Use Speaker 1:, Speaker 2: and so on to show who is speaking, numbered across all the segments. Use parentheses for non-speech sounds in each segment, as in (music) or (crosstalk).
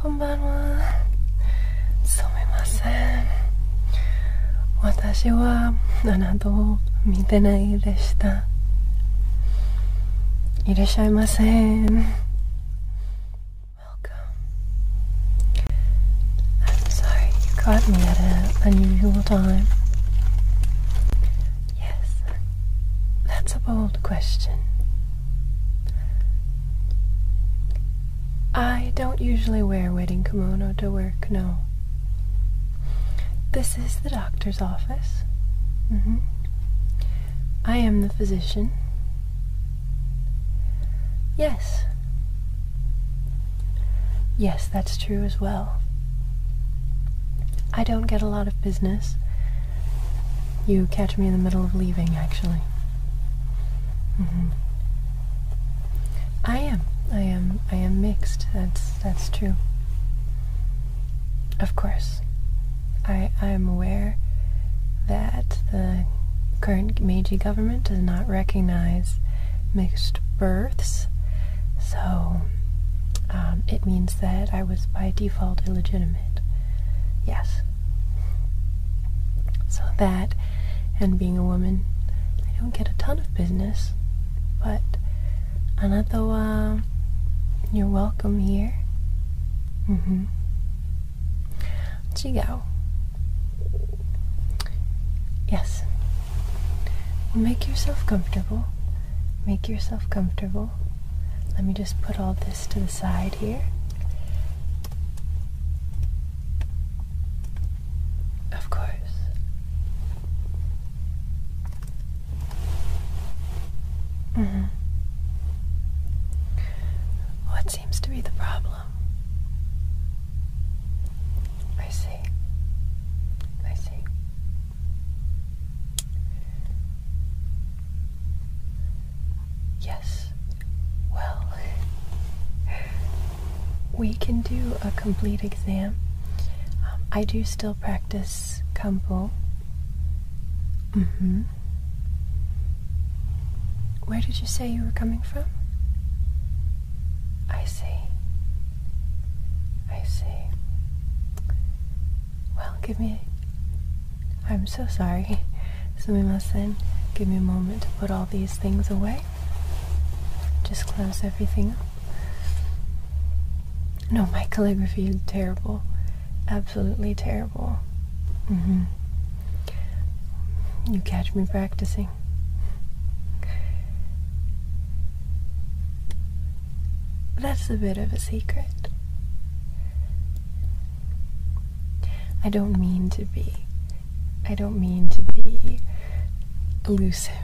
Speaker 1: こんばんは私は7度見てないでしたいらっしゃいませ Welcome. I'm sorry you caught me at an unusual time. Yes, that's a bold question. I don't usually wear wedding kimono to work, no. This is the doctor's office. Mm -hmm. I am the physician. Yes. Yes, that's true as well. I don't get a lot of business. You catch me in the middle of leaving, actually. Mm-hmm. I am. I am. I am mixed. That's that's true. Of course, I I am aware that the current Meiji government does not recognize mixed births, so um, it means that I was by default illegitimate. Yes. So that, and being a woman, I don't get a ton of business, but Anatoa, uh, you're welcome here. Mm-hmm. Let you go. Yes. make yourself comfortable. Make yourself comfortable. Let me just put all this to the side here. Of course. Mm hmm. What seems to be the problem? I see. I see. Yes. Well, we can do a complete exam. Um, I do still practice Kampo. Mm hmm. Where did you say you were coming from? I see. I see. Well, give me. I'm so sorry. So we must Sumimasen. Give me a moment to put all these things away. Just close everything up. No, my calligraphy is terrible. Absolutely terrible. Mm-hmm. You catch me practicing. That's a bit of a secret. I don't mean to be. I don't mean to be elusive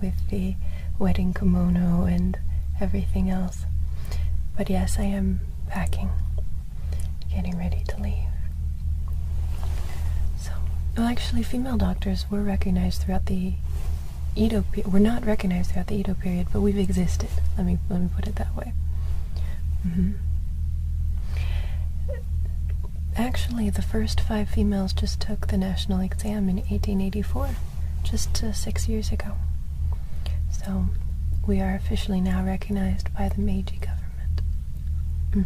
Speaker 1: with the wedding kimono and everything else. But yes, I am packing getting ready to leave. So, well, actually, female doctors were recognized throughout the Edo. period. We're not recognized throughout the Edo period, but we've existed. Let me let me put it that way. Mm-hmm. Actually, the first five females just took the national exam in 1884, just uh, six years ago. So, we are officially now recognized by the Meiji government. Mm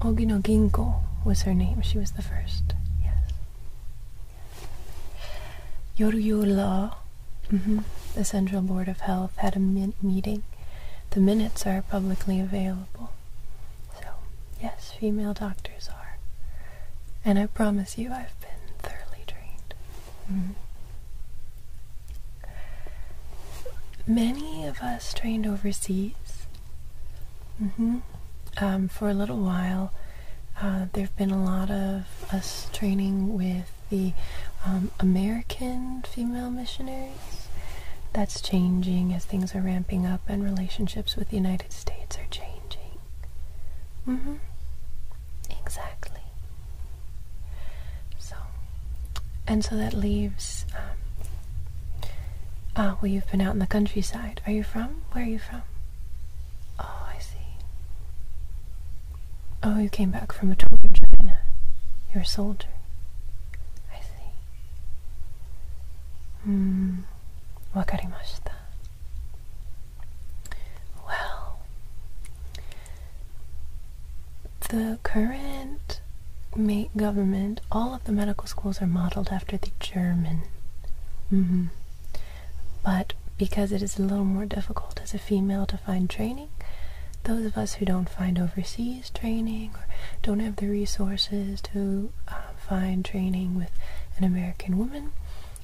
Speaker 1: mm-hmm. Ogino Ginko was her name. She was the first. Yes. Yoruyo mm-hmm, the Central Board of Health, had a meeting. The minutes are publicly available. So, yes, female doctors are. And I promise you, I've been thoroughly trained. Mm-hmm. Many of us trained overseas. Mm-hmm. Um, for a little while, uh, there have been a lot of us training with the um, American female missionaries. That's changing as things are ramping up and relationships with the United States are changing. Mm-hmm. Exactly. So, and so that leaves. Um, ah, uh, well, you've been out in the countryside. Are you from? Where are you from? Oh, I see. Oh, you came back from a tour in China. You're a soldier. I see. Hmm. Well, the current government, all of the medical schools are modeled after the German. Mm-hmm. But because it is a little more difficult as a female to find training, those of us who don't find overseas training or don't have the resources to um, find training with an American woman,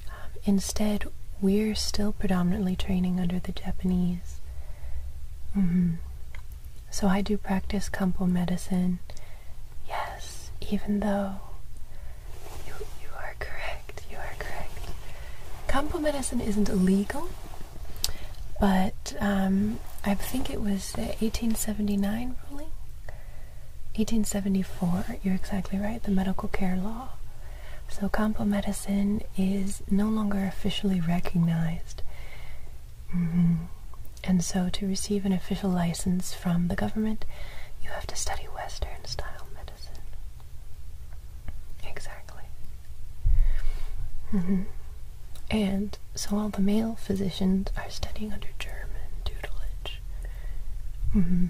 Speaker 1: um, instead, we're still predominantly training under the Japanese -hmm. So I do practice Kampo medicine. Yes, even though you, you are correct, you are correct. Kampo medicine isn't illegal, but um, I think it was the 1879 ruling. 1874, you're exactly right, the medical care law so campo medicine is no longer officially recognized. Mm-hmm. And so to receive an official license from the government, you have to study Western style medicine. Exactly. Mm-hmm. And so all the male physicians are studying under German tutelage. Mm-hmm.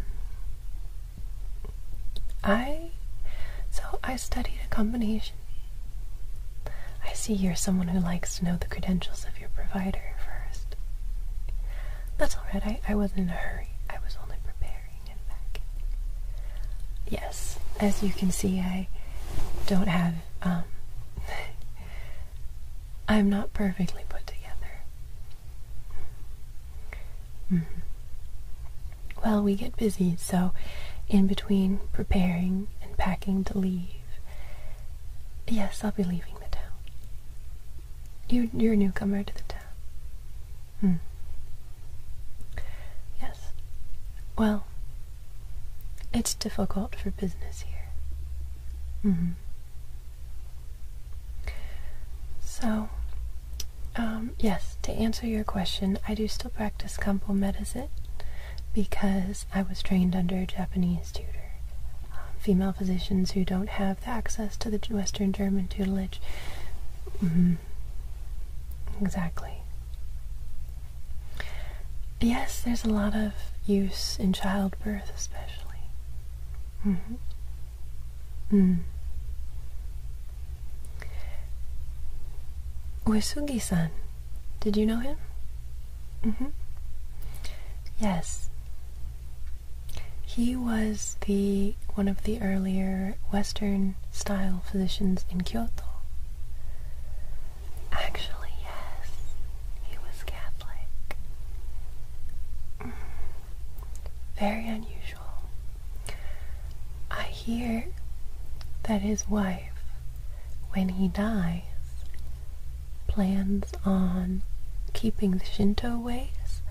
Speaker 1: I so I studied a combination. I see you're someone who likes to know the credentials of your provider first. That's alright, I, I wasn't in a hurry. I was only preparing and packing. Yes, as you can see I don't have um, (laughs) I'm not perfectly put together. -hmm. Well, we get busy, so in between preparing and packing to leave. Yes, I'll be leaving the town. You're, a newcomer to the town. Hmm. Yes. Well, it's difficult for business here. hmm. So, um, yes, to answer your question, I do still practice Kampo medicine because I was trained under a Japanese tutor. Um, female physicians who don't have the access to the Western German tutelage. Mm-hmm. Exactly. Yes, there's a lot of use in childbirth, especially. Mm-hmm. Mm. Uesugi-san, did you know him? Mm-hmm. Yes. He was the one of the earlier Western style physicians in Kyoto. Actually, yes. He was Catholic. Mm-hmm. Very unusual. I hear that his wife, when he dies, plans on keeping the Shinto ways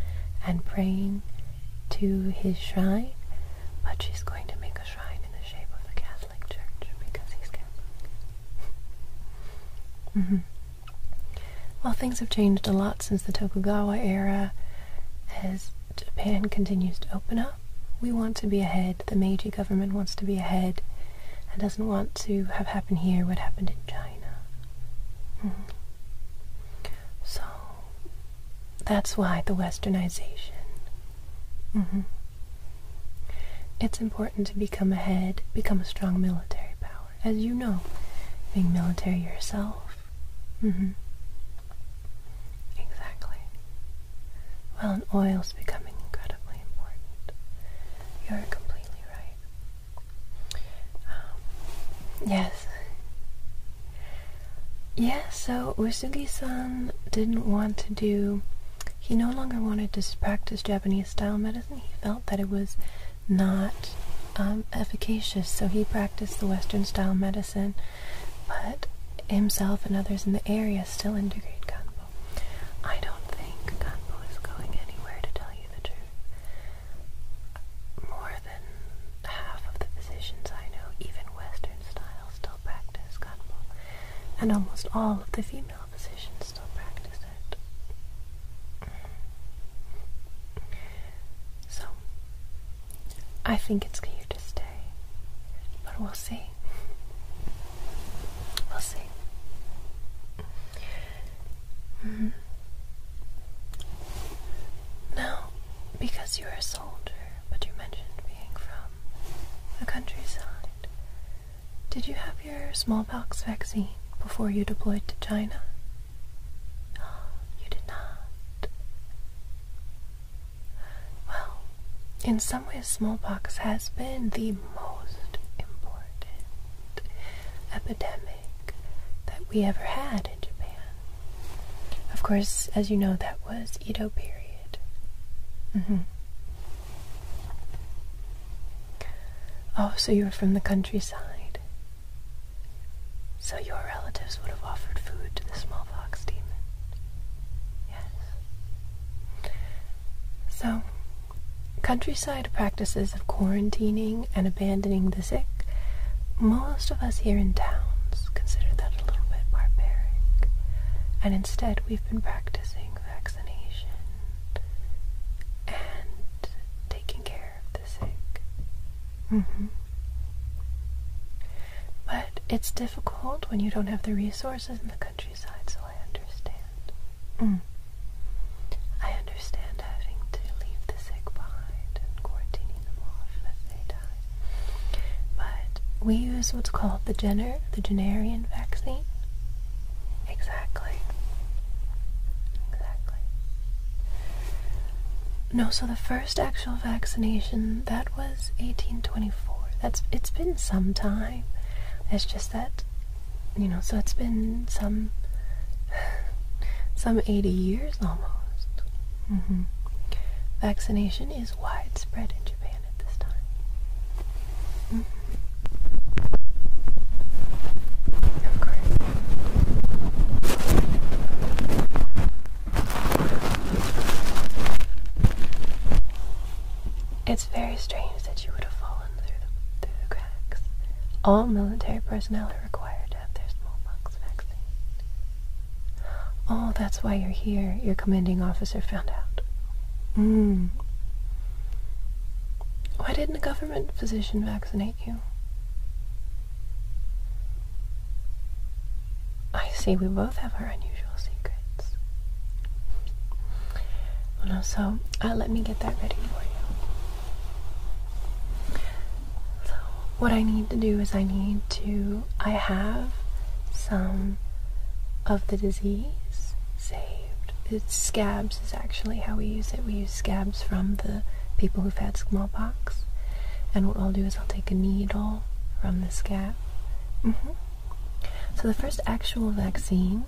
Speaker 1: and praying to his shrine, but she's going to make a shrine in the shape of the Catholic Church because he's Catholic. Mm-hmm. Well, things have changed a lot since the Tokugawa era, as Japan continues to open up. We want to be ahead. The Meiji government wants to be ahead and doesn't want to have happen here what happened in China. Mm-hmm. So that's why the westernization. Mm-hmm. It's important to become ahead, become a strong military power. As you know, being military yourself, Mm-hmm. Exactly. Well, and oil's becoming incredibly important. You're completely right. Um, yes. so Usugi-san didn't want to do... He no longer wanted to practice Japanese-style medicine. He felt that it was not um, efficacious, so he practiced the Western-style medicine but himself and others in the area still integrate Kanpo. I don't think Kanpo is going anywhere, to tell you the truth. More than half of the physicians I know, even Western style, still practice Kanpo, and almost all of the female physicians still practice it. So, I think it's here to stay but we'll see. We'll see. Mm because you're a soldier, but you mentioned being from the countryside, did you have your smallpox vaccine before you deployed to China? (gasps) you did not. Well, in some ways, smallpox has been the most important epidemic that we ever had in Japan. Of course, as you know, that was Edo period. Mm-hmm. Oh, so you are from the countryside. So your relatives would have offered food to the smallpox demon. Yes. So, countryside practices of quarantining and abandoning the sick, most of us here in towns consider that a little bit barbaric. And instead, we've been practicing vaccination and taking care of the sick. Mm hmm. But it's difficult when you don't have the resources in the countryside, so I understand. Mm. I understand having to leave the sick behind and quarantining them off if they But we use what's called the Jenner, the Jennerian vaccine. Exactly. Exactly. No, so the first first actual vaccination that was 1824. That's it's been some time. It's just that you know, so it's been some (sighs) some 80 years almost. Mm-hmm. Vaccination is widespread in Japan at this time. Mm it's very strange that you would have fallen through the, cracks. All military personnel are required to have their smallpox vaccine. Oh, that's why you're here. Your commanding officer found out. Mm. Why didn't a government physician vaccinate you? I see we both have our unusual secrets. so uh, let me get that ready for you. what I need to do is I need to. I have some of the disease saved. It's scabs is actually how we use it. We use scabs from the people who've had smallpox. And what I'll do is I'll take a needle from the scab Mm-hmm. So the first actual vaccine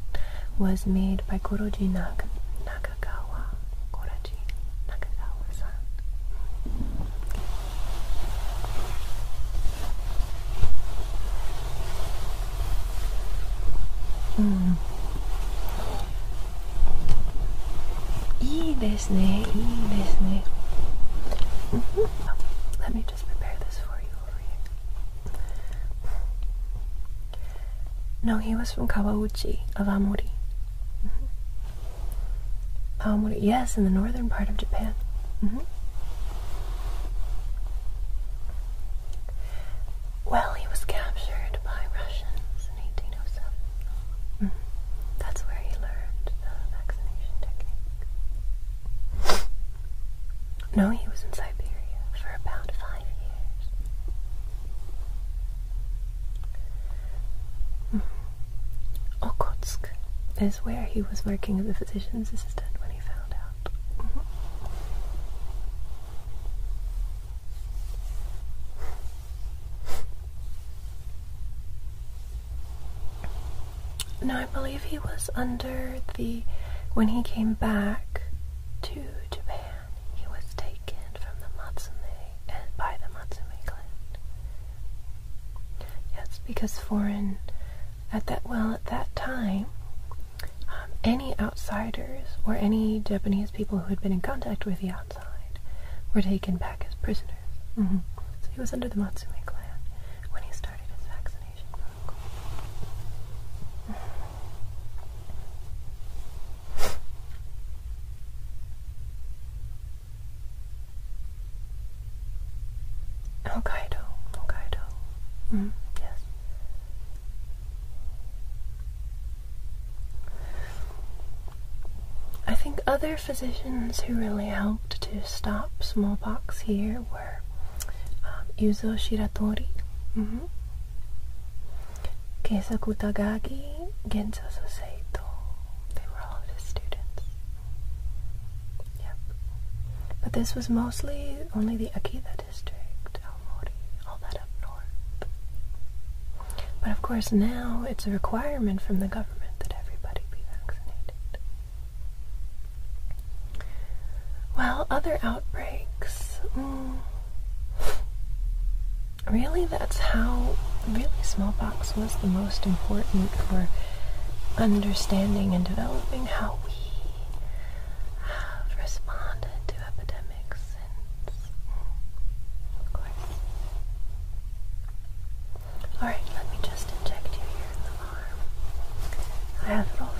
Speaker 1: was made by Koroji Nakagawa. Koroji Nakagawa-san. Mm. いいです no, he was from Kawauchi of Amori mm mm-hmm. yes, in the northern part of Japan mm-hmm. Well, he was captured by Russians in 1807 mm-hmm. That's where he learned no, he was in Siberia for about five years. Mm is where he was working as a physician's assistant when he found out. Mm-hmm. No, I believe he was under the. When he came back to Japan, he was taken from the Matsume and uh, by the Matsume clan. Yes, because foreign at that well at that time, um, any outsiders or any Japanese people who had been in contact with the outside were taken back as prisoners. Mm-hmm. So he was under the Matsume clan when he started his vaccination protocol. Hokkaido, Hokkaido. Mm Yes. I think other physicians who really helped to stop smallpox here were um, Yuzo Shiratori, mm -hmm. Keisa Kutagagi, Soseito. They were all his students. Yep. But this was mostly only the Akita district, Aomori, all that up north. But of course now it's a requirement from the government that everybody be vaccinated. Well, other outbreaks. Mm. really, that's how really smallpox was the most important for understanding and developing how we have responded to epidemics of course. Alright, let me just inject you here in the arm. I have it all ready.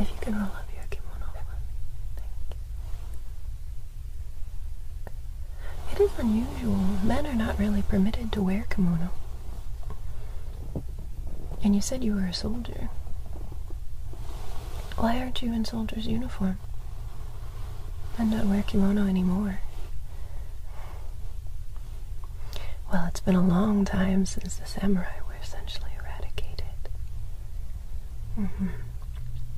Speaker 1: if you can roll up your kimono for me. Thank you. It is unusual. Men are not really permitted to wear kimono. And you said you were a soldier. Why aren't you in soldier's uniform? I don't wear kimono anymore. Well, it's been a long time since the samurai were essentially eradicated. hmm.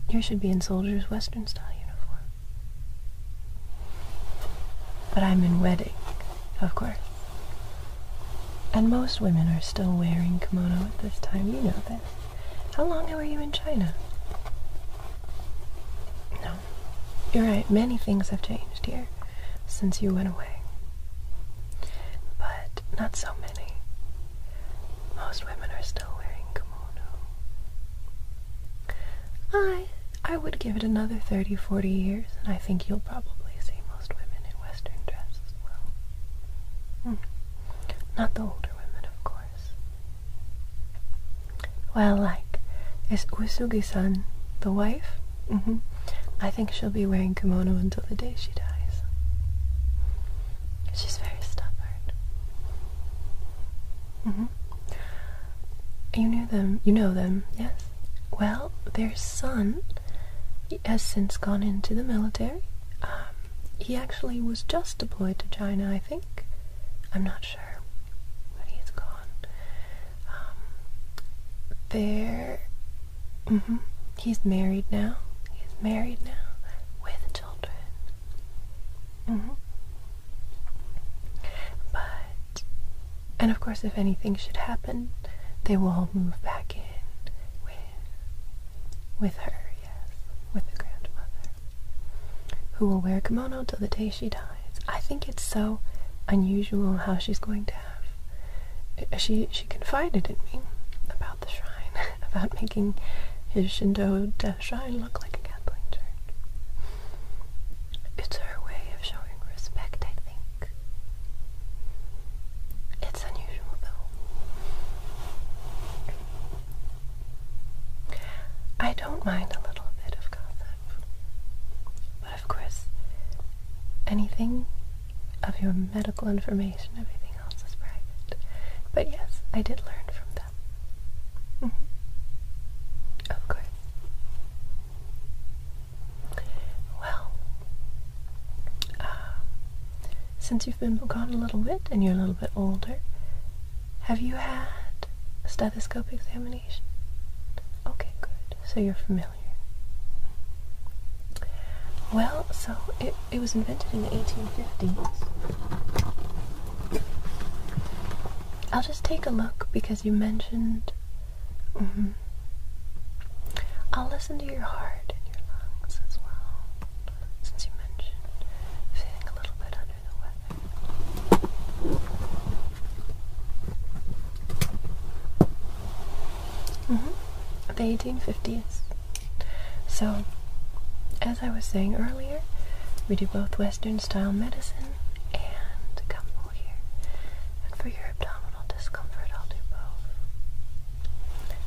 Speaker 1: You should be in soldier's Western style uniform. But I'm in wedding, of course. And most women are still wearing kimono at this time, you know this. How long were you in China? No. You're right, many things have changed here since you went away. But not so many. Most women are still wearing kimono. I I would give it another 30, 40 years, and I think you'll probably see most women in Western dress as well. Hmm. Not the older women, of course. Well, like, is Usugi-san the wife? Mm-hmm. I think she'll be wearing kimono until the day she dies. She's very stubborn. Mm-hmm. You knew them. You know them, yes? Well, their son has since gone into the military. Um, he actually was just deployed to China, I think. I'm not sure, but he's gone. Um, there. Mm-hmm. He's married now. He's married now with children. Mm-hmm. But, and of course, if anything should happen, they will all move back in with with her. Yes, with the grandmother who will wear kimono till the day she dies. I think it's so unusual how she's going to have. Uh, she she confided in me about the shrine, (laughs) about making his Shinto shrine look like a Catholic church. It's her way of showing respect, I think. It's unusual though. I don't mind a little bit of gossip, but of course, anything of your medical information, everything else is private. But yes, I did learn from them. Mm Well, uh, since you've been gone a little bit and you're a little bit older, have you had stethoscope examination? Okay, good. So you're familiar. Well, so it, was invented in the 1850s. I'll just take a look because you mentioned. Mm-hmm. I'll listen to your heart and your lungs as well since you mentioned feeling a little bit under the weather. Mm-hmm. The 1850s. So, as I was saying earlier, we do both Western style medicine and gumbo And for your abdominal discomfort, I'll do both.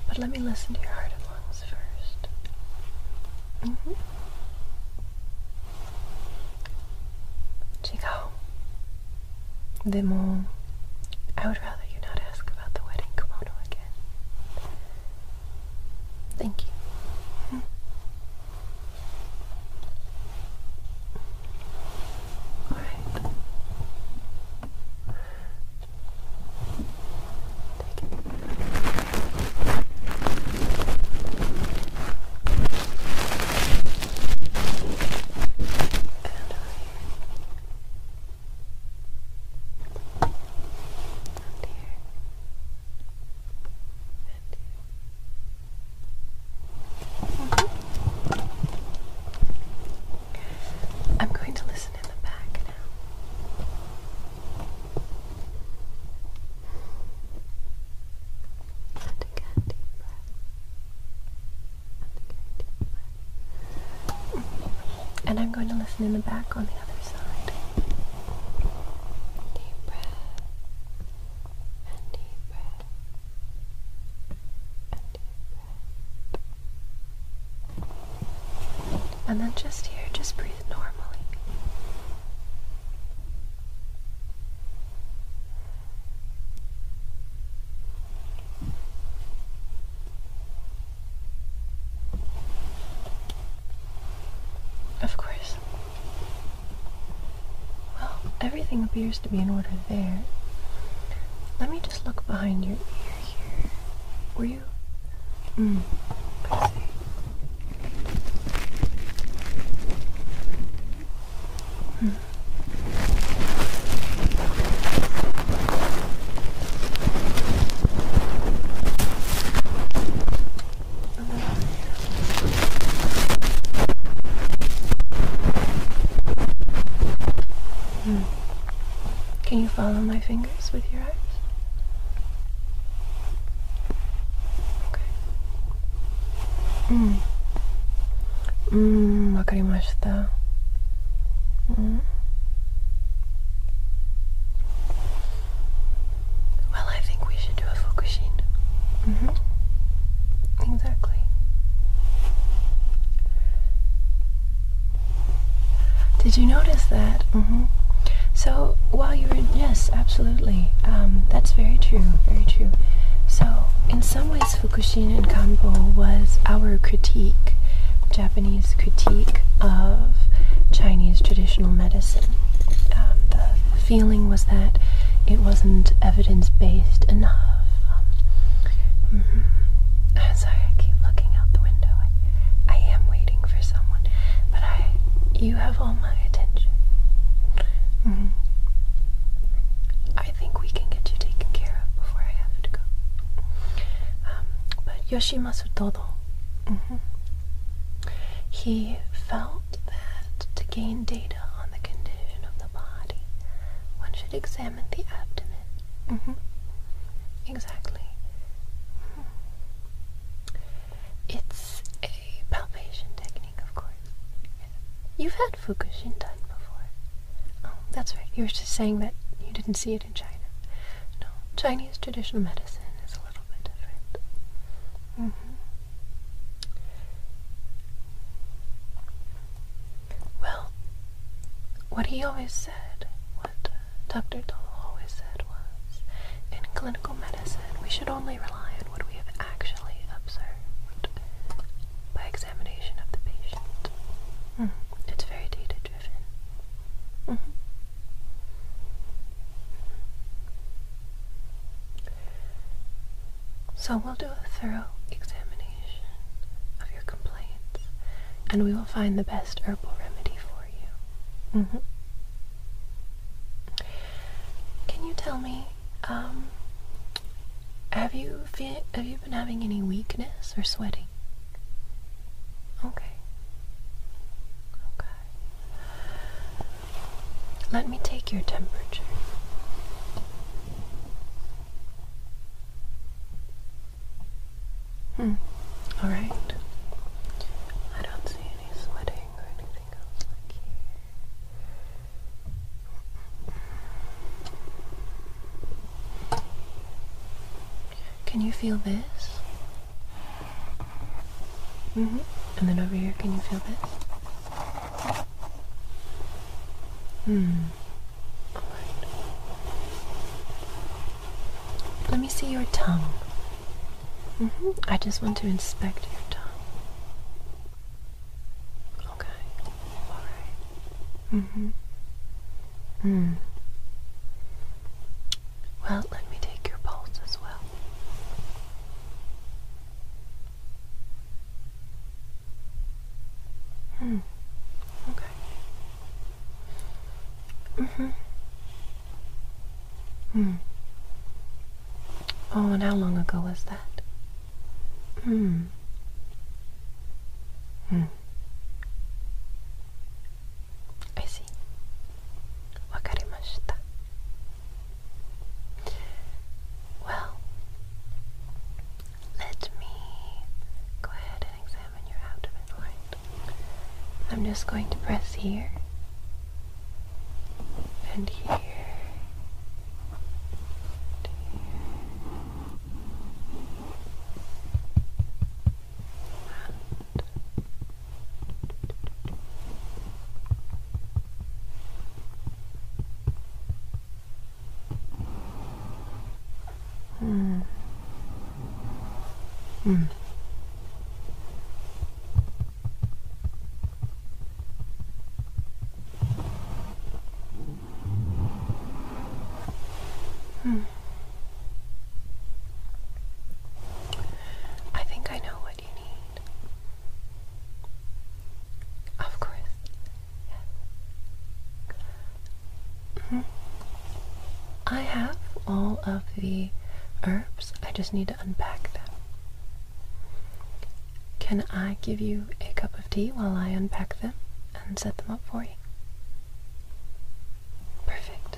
Speaker 1: But let me listen to your heart ones first. Mm -hmm. I would rather you not ask about the wedding kimono again. Thank you. Mm-hmm. Alright. Take it. I'm going to listen in the back now. And again, deep breath. And again, deep breath. And I'm going to listen in the back on the other side. Deep breath. And deep breath. And deep breath. And then just here, just breathe normally. Of course. Well, everything appears to be in order there. Let me just look behind your ear here, you? Mm. let Can you follow my fingers with your your mm, eyes. Okay. Mm. うーん、わかりました。Mm. Well, I think we should do a focusing. Mm hmm Exactly. Did you notice that? Mm-hmm. So while you were yes, absolutely. Um, that's very true, very true. So in some ways, Fukushima and Kanpo was our critique, Japanese critique of Chinese traditional medicine. Um, the feeling was that it wasn't evidence-based enough. Um, mm-hmm. Sorry, I keep looking out the window. I am waiting for someone. But I, you have all my attention. Mm-hmm. I think we can get you taken care of before I have to go. Um, but Yoshimasu Todo, mm he felt that to gain data on the condition of the body, one should examine the abdomen. Mm-hmm. Exactly. It's a palpation technique, of course. You've had Fukushin done before. Oh, that's right. You were just saying that you didn't see it in China. No, Chinese traditional medicine is a little bit different. Mm-hmm. Well, what he always said, what uh, Dr. Dole always said was, in clinical medicine, we should only rely on what we have actually observed by examination of the patient. Hmm. It's very data driven. Mm-hmm. So we'll do a thorough examination of your complaints and we will find the best herbal remedy for you. Mm-hmm. Can you tell me, um, have you have you been having any weakness or sweating? Okay. Okay. Let me take your temperature. Hmm. All right. I don't see any sweating or anything else Can you feel this? hmm And then over here, can you feel this? Hmm. Let me see your tongue. Mm-hmm. I just want to inspect your tongue. Okay. Alright. hmm. Hmm. Well, let me take your pulse as well. Hmm. Okay. Mm-hmm. Hmm. Oh, and how long ago was that? Hmm. Hmm. I see. Wakarimashita. Well, let me go ahead and examine your abdomen, right? I'm just going to press here and here. And here. And hmm. Mm. Hmm. I think I know what you need. Of course. -hmm. I have all of the herbs, I just need to unpack them. Can I give you a cup of tea while I unpack them and set them up for you? Perfect.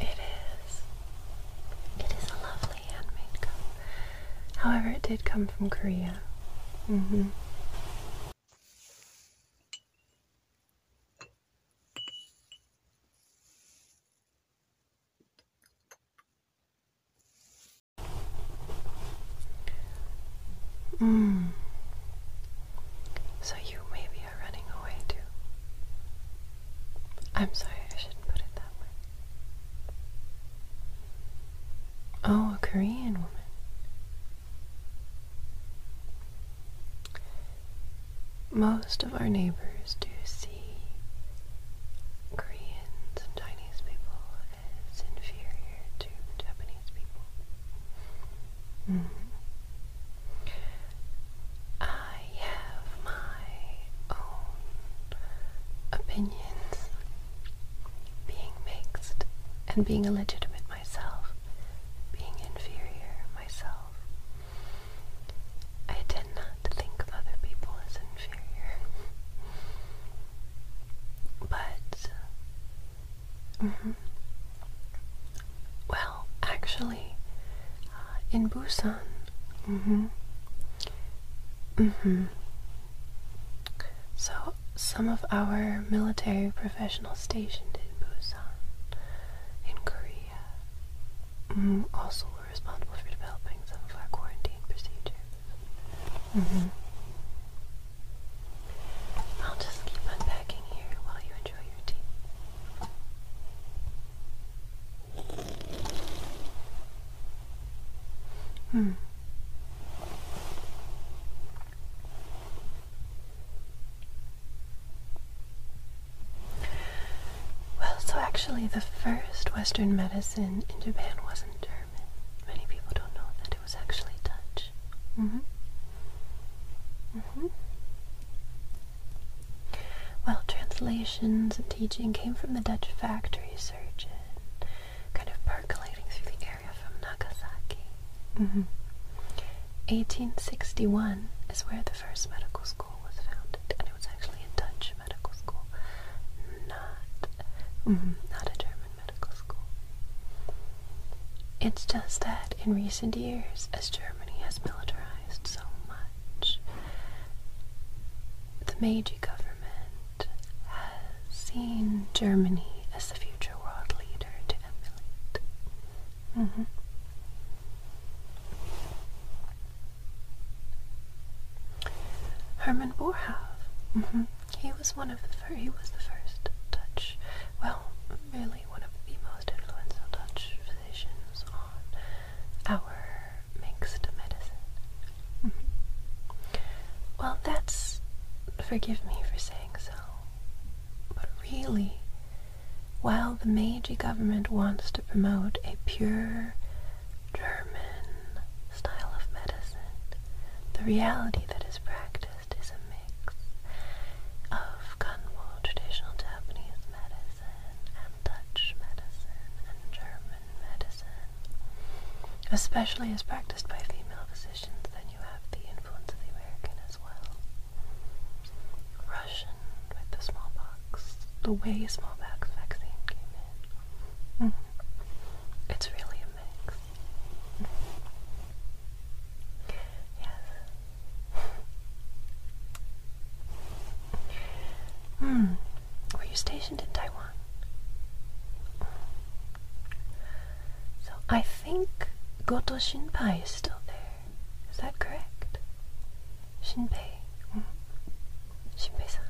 Speaker 1: It is. It is a lovely handmade cup. However, it did come from Korea. Mm-hmm. Mm. So you maybe are running away too. I'm sorry, I shouldn't put it that way. Oh, a Korean woman most of our neighbors do see Koreans and Chinese people as inferior to Japanese people. Mm-hmm. I have my own opinions. Being mixed and being illegitimate myself, being inferior myself, I tend not think of other people as inferior. but, mm-hmm. well, actually, uh, in Busan, mm-hmm. Mm-hmm. So some of our military professionals stationed in Busan, in Korea um, also were responsible for developing some of our quarantine procedures. Mm-hmm. I'll just keep unpacking here while you enjoy your tea. Hmm. Well, so actually, the first Western medicine in Japan wasn't German. Many people don't know that it was actually Dutch. Mm-hmm. Mm-hmm. Well, translations and teaching came from the Dutch factory surgeon, kind of percolating through the area from Nagasaki. Mm-hmm. 1861 is where the first medical school was founded, and it was actually a Dutch medical school, not mm-hmm, not a German medical school. It's just that in recent years, as Germany has militarized so much, the Meiji government has seen Germany as the future world leader to emulate. Mm-hmm. Herman Boerhaave. Mm-hmm. He was one of the first. he was the first Dutch, well, really one of the most influential Dutch physicians on our mixed medicine. Mm-hmm. Well, that's forgive me for saying so, but really, while the Meiji government wants to promote a pure German style of medicine, the reality that is practiced is a mix of Kanwo, traditional Japanese medicine, and Dutch medicine, and German medicine. Especially as practiced by female physicians, then you have the influence of the American as well. Russian with the smallpox, the way smallpox vaccine came in. Mm-hmm. It's really a mix. Yes. Hmm. Were you stationed in Taiwan? So I think Goto Shinpei is still there. Is that correct? Shinpei. Shinpei-san.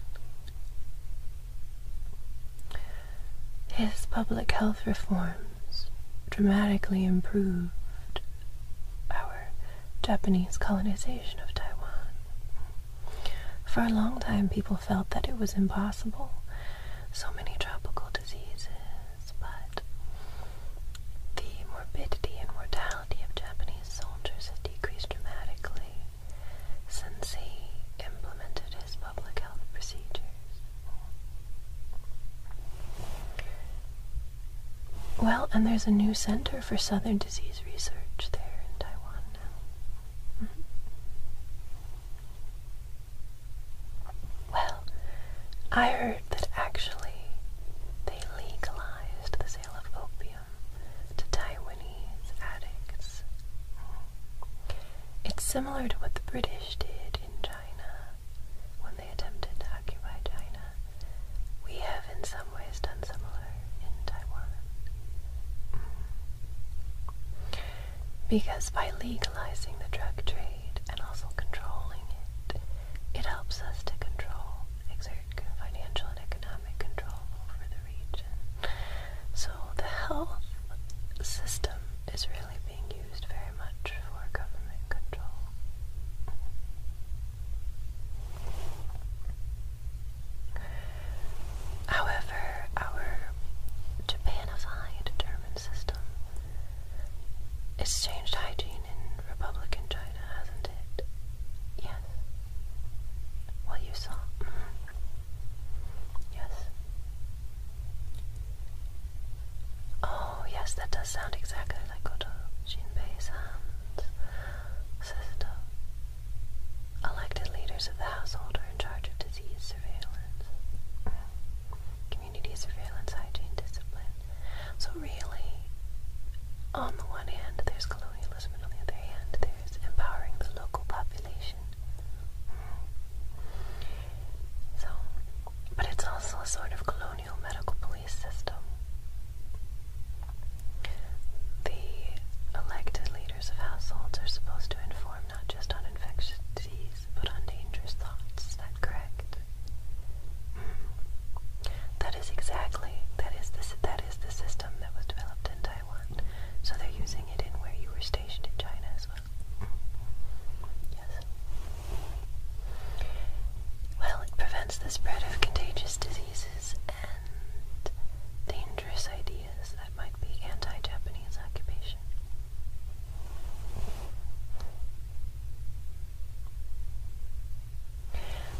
Speaker 1: His public health reforms dramatically improved our Japanese colonization of Taiwan. For a long time, people felt that it was impossible. So many tropical diseases but the morbidity and mortality of Japanese soldiers had decreased dramatically since he implemented his public health procedures. Well, and there's a new center for southern disease research there in Taiwan now. Mm-hmm. Well, I heard that actually they legalized the sale of opium to Taiwanese addicts. It's similar to what the British did in China when they attempted to occupy China. We have, in some ways, done similar in Taiwan. Because by legalizing the drug trade and also controlling it, it helps us to control, exert financial and economic control over the region. So the health system is really being used very much for government control. However, our Japanified German system it's changed hygiene in Republican China, hasn't it? Yes. Well, you saw. Mm-hmm. Yes. Oh, yes, that does sound exactly like Goto Jinbei's hands. Elected leaders of the household are in charge of disease surveillance, mm-hmm. community surveillance, hygiene, discipline, so really, on the one hand, there's colonialism, and on the other hand, there's empowering the local population. So, but it's also a sort of colonial medical police system. The elected leaders of households are supposed to inform not just on infectious disease, but on dangerous thoughts that correct that is exactly that is the that is the system that was developed in Taiwan. So they're using it in where you were stationed in China as well. Yes. Well, it prevents the spread of contagious diseases and dangerous ideas that might be anti-Japanese occupation.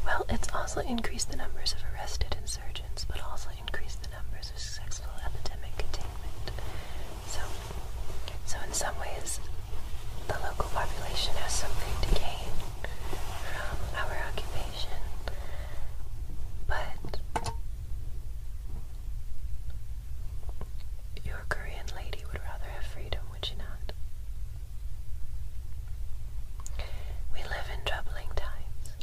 Speaker 1: Well, it's also increased the numbers of arrested insurgents, but also increased the numbers of successful epidemic containment. So, so in some ways, the local population has something to gain from our occupation, but your Korean lady would rather have freedom would you not? We live in troubling times.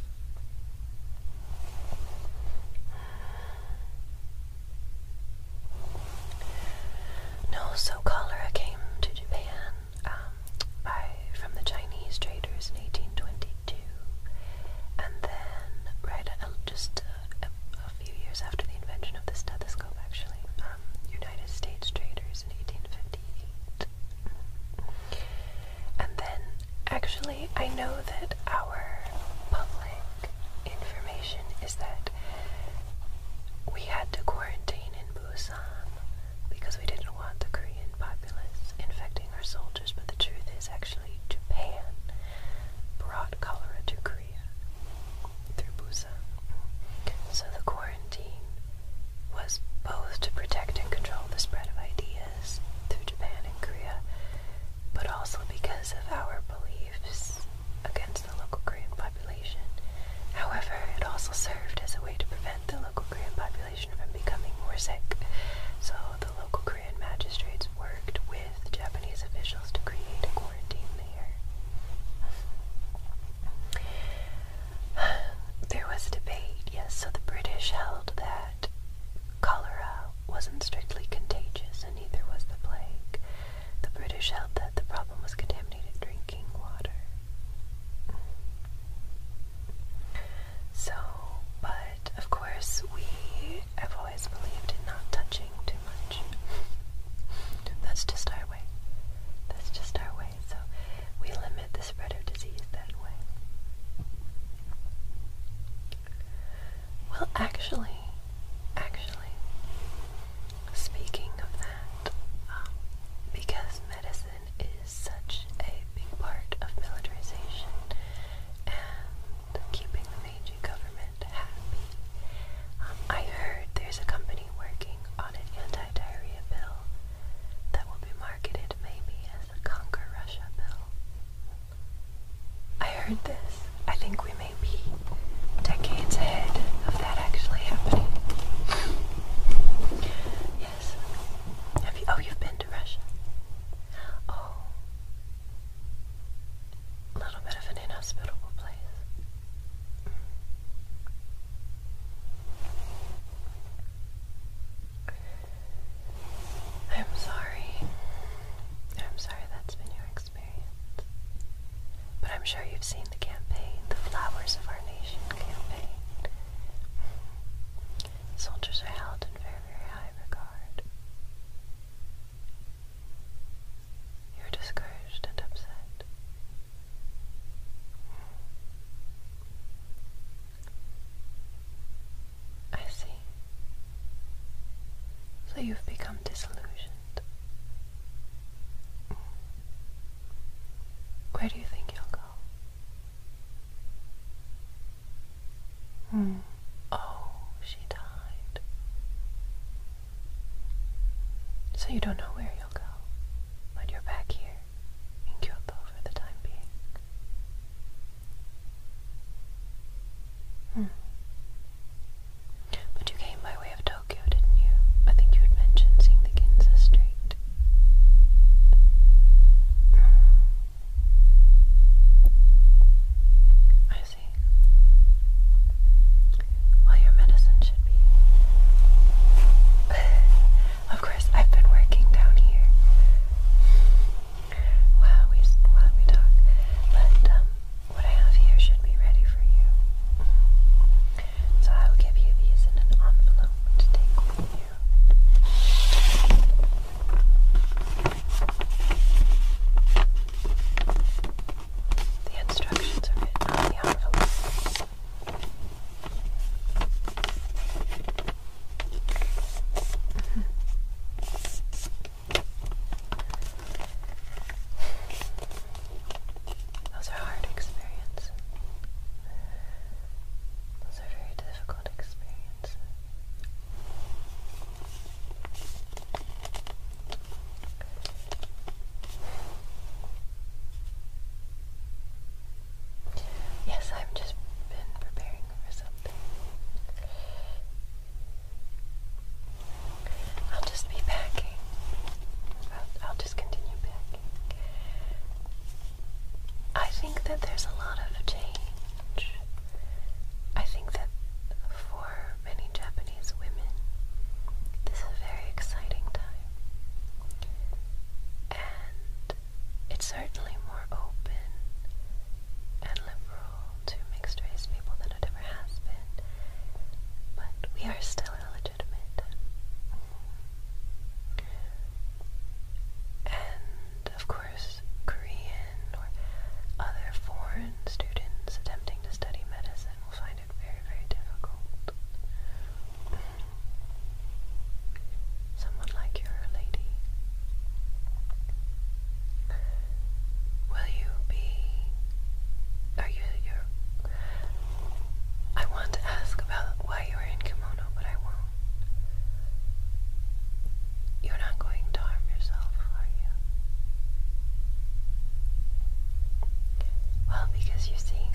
Speaker 1: No so cholera came to Japan um, by from the Chinese traders in 1822, and then right uh, just uh, a, few years after the invention of the stethoscope, actually, um, United States traders in 1858. And then, actually, I know that our public information is that we had to quarantine in Busan because we didn't want the Korean populace infecting our soldiers, but the truth is actually Japan brought cholera to Korea through Busan. So the quarantine was both to protect and control the spread of ideas through Japan and Korea, but also because of our beliefs against the local Korean population. However, it also served as a way to prevent the local Korean population from becoming more sick. So the local Korean magistrates worked with Japanese officials to create a there was a debate, yes, so the British held that cholera wasn't strictly contagious and neither was the plague. The British held that the problem was contaminated drinking water. So, but of course, we have always believed in not touching too much that's just our way. That's just our way. So we limit the spread of disease that way. Well, actually, actually, speaking of that, um, because medicine is such a big part of militarization and keeping the Meiji government happy, um, I heard there's a company working on an anti-diarrhea pill that will be marketed maybe as the Conquer Russia pill. I heard this. I think we may be decades ahead of that actually happening. yes. Have you? Oh, you've been to Russia. Oh. A little bit of an inhospitable place. I'm sorry. I'm sorry that's been your experience. But I'm sure you've seen the campaign, the Flowers of Our Nation campaign. Soldiers are held in very, very high regard. You're discouraged and upset. I see. So you've become disillusioned. Where do you think you'll go? Hmm. Oh, she died. So you don't know where you'll go, but you're back here in Kyoto for the time being. Hmm. But you came by way of Tokyo, didn't you? I think you had mentioned seeing the Ginza Street. Hmm. I see. Well, your medicine should be. (laughs) of course, I've been working down here. While we while we talk, but um, what I have here should be ready for you. So I'll give you these in an envelope to take with you. The instructions are written on the envelope. (laughs) Those are hard experiences. Those are very difficult experiences. Yes, I've just been preparing for something. I'll just be packing. I'll, just continue packing. I think that there's a lot of change. I think that for many Japanese women, this is a very exciting time. And it's certainly more open and liberal to mixed race people than it ever has been. But we are still illegitimate. And of course, Korean or other foreign students attempting to study medicine will find very, very difficult. Someone like your lady. Will you be. Are you. Your, I want to ask about why you are in kimono, but I won't. You're not going to harm yourself, are you? Well, because you see,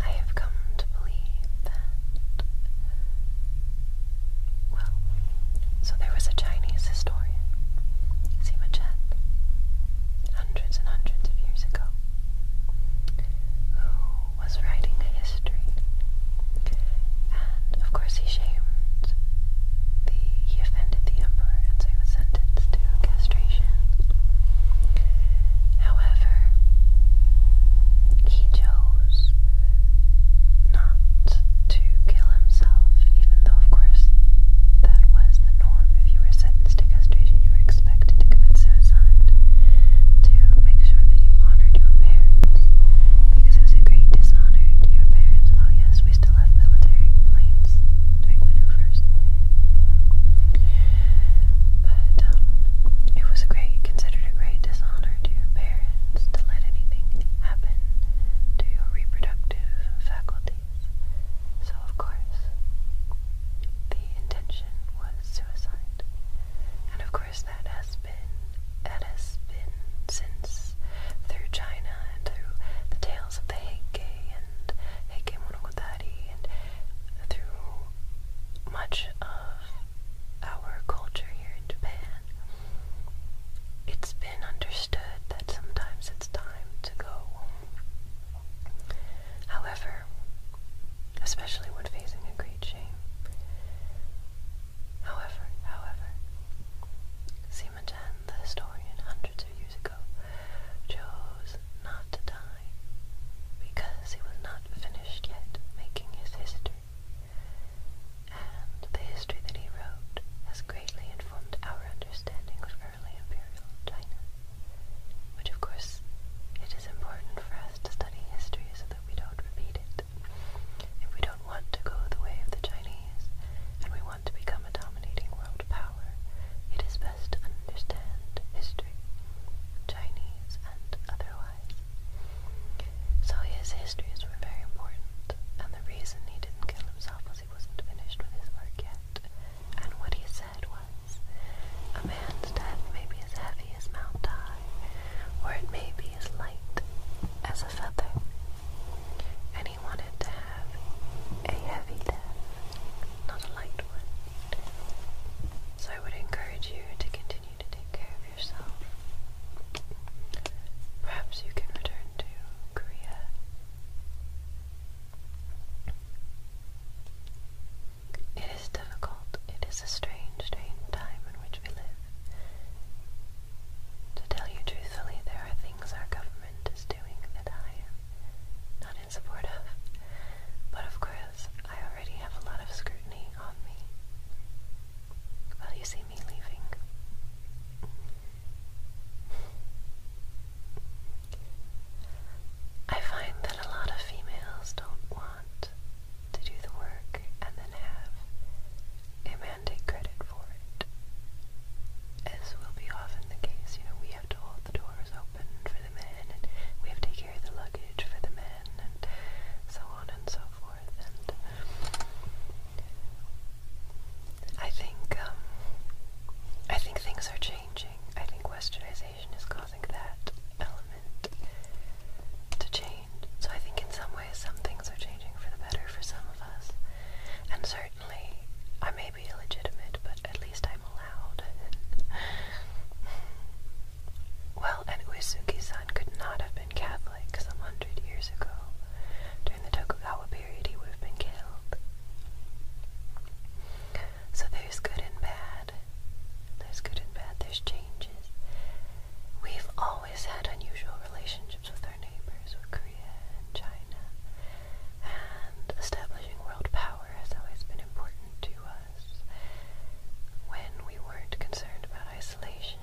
Speaker 1: I have come to believe that. Well, so there was a Chinese historian, Sima Chen, hundreds and hundreds of years ago, who was writing a history. And of course, he shamed he offended the emperor, and so he was sentenced to castration. However, he chose not to kill himself, even though, of course, that was the norm. If you were sentenced to castration, you were expected to commit suicide to make sure that you honored your parents, because it was a great dishonor to your parents. Oh yes, we we still have military planes doing maneuvers. But um, it was a great, considered a great dishonor to your parents to let anything happen to your reproductive faculties. So, of course, the intention was suicide. And of course, that has been, that has been since through China and through the tales of the Heike and Heike Monogatari and through much of our culture here in Japan, it's been understood that sometimes it's time to go However, especially when facing a great shame, however, however, the historian, hundreds of years ago, chose not to die because he was not finished yet making his history. And the history that he wrote has greatly informed our understanding of early imperial China, which of course it is important for us to study history so that we don't repeat it. If we don't want to go the way of the Chinese and we want to become a dominating world power, it is best to understand history, Chinese and otherwise. So his histories were very important, and the reason he didn't kill himself was he wasn't finished with his work yet. And what he said was, a man's death may be as heavy as Mount Tai, or it may be as light as a feather and he wanted to have a heavy death, not a light one. So I would encourage you to continue to take care of yourself. Perhaps you can return to Korea. It is difficult. It is a strange, strange time in which we live. To tell you truthfully, there are things our government is doing that I am not in But of course, I already have a lot of scrutiny on me. Well, you see me leaving. I find that a lot of females don't want to do the work and then have a man take credit for it. As will be often the case, you know, we have have to hold the doors open for the men, and we have to carry the luggage for the men, and so on and so forth. And I think um, I think things are changing. I think Westernization is causing that element to change. So I think in some ways some things are changing for the better for some of us, and certainly I'm may illegitimate, but at least I'm allowed. well, and Uesugi-san could not have been Catholic some hundred years ago. During the Tokugawa period, he would have been killed. So there's good and bad. There's good and bad. There's changes. We've always had unusual relationships with our neighbors and China, and establishing world power has always been important to us when we weren't concerned about isolation.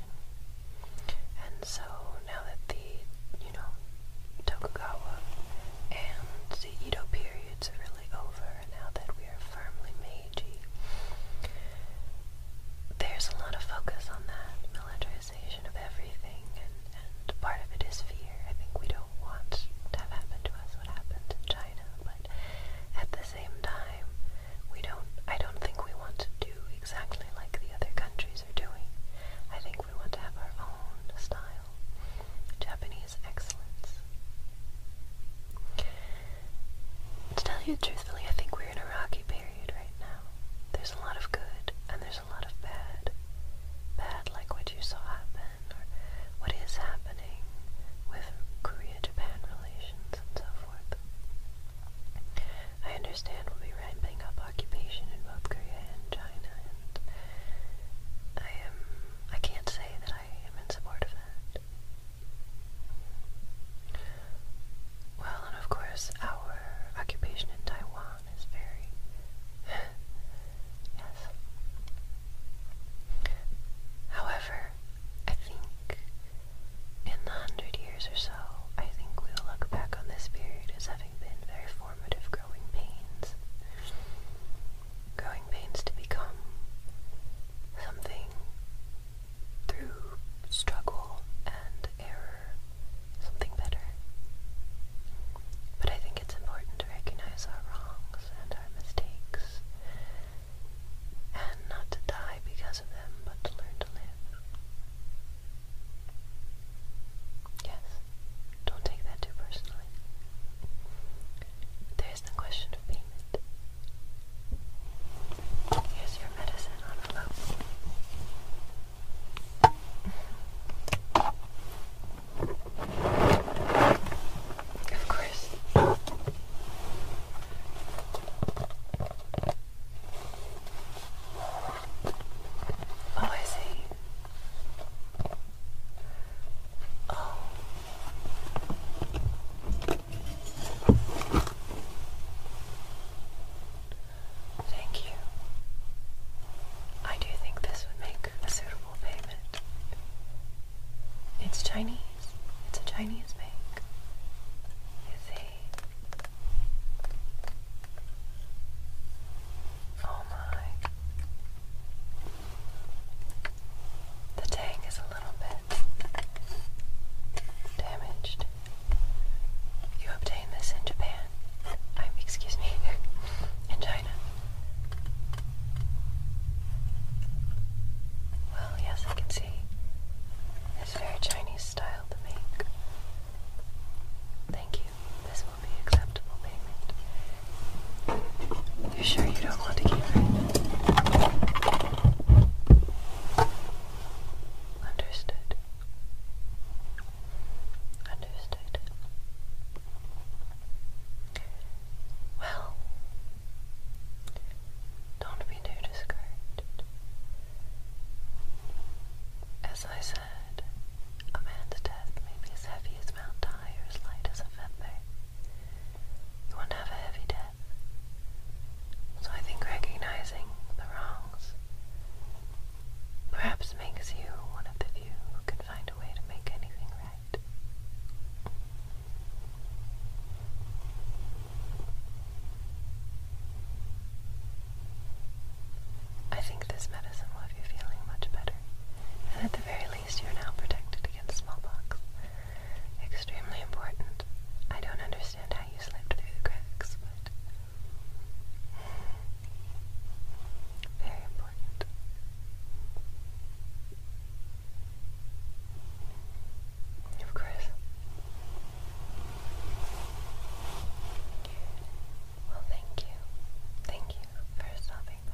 Speaker 1: And so now that the, you know, Tokugawa and the Edo periods are really over, now that we are firmly Meiji, there's a lot of focus on that military normalization of everything, and, and part of it is fear. I think we don't want to have happen to us what happened in China, but at the same time, we don't. I don't think we want to do exactly like the other countries are doing. I think we want to have our own style, Japanese excellence. To tell you truthfully, I think we're in a rocky period right now. There's a lot of good, and there's there's a lot of bad, bad like what you saw happen or what is happening with Korea-Japan relations and so forth. I understand we'll be ramping up occupation in both Korea and China, and I am I can't say that I am in support of that. Well, and of course, our occupation in Taiwan on is (laughs) However, I think in the hundred years or so, I think we will look back on this period as having been very formative growing pains. Growing pains to become something through struggle and error something better. But I think it's important to recognize our wrongs and our mistakes and not to die because of them, but to learn to live. Yes, don't take that too personally. There's no question of payment. Here's your medicine envelope. Of course. Oh, I see. Oh. Thank you. I do think this would make a suitable payment. It's Chinese. It's a Chinese bank. You see? Eh? Oh my. The tank is a little bit damaged. You obtain this in Japan excuse me, (laughs) China. Well, yes, I can see. It's very Chinese style to make. Thank you. This will be acceptable payment. You sure you don't want to keep it? Understood. Understood. Well, don't be too discouraged. As I said, a man's death may be as heavy as Mount Ty or as light as a feather. You won't have a heavy death.
Speaker 2: So I think recognizing
Speaker 1: the wrongs perhaps makes you one of the you can find a way to make anything right. I think this medicine will have you feeling much better, and at the very least, you're now protected against smallpox. Extremely important. I don't understand how you slipped through the cracks, but. Very important. Of course. Well, thank you. Thank you for stopping by.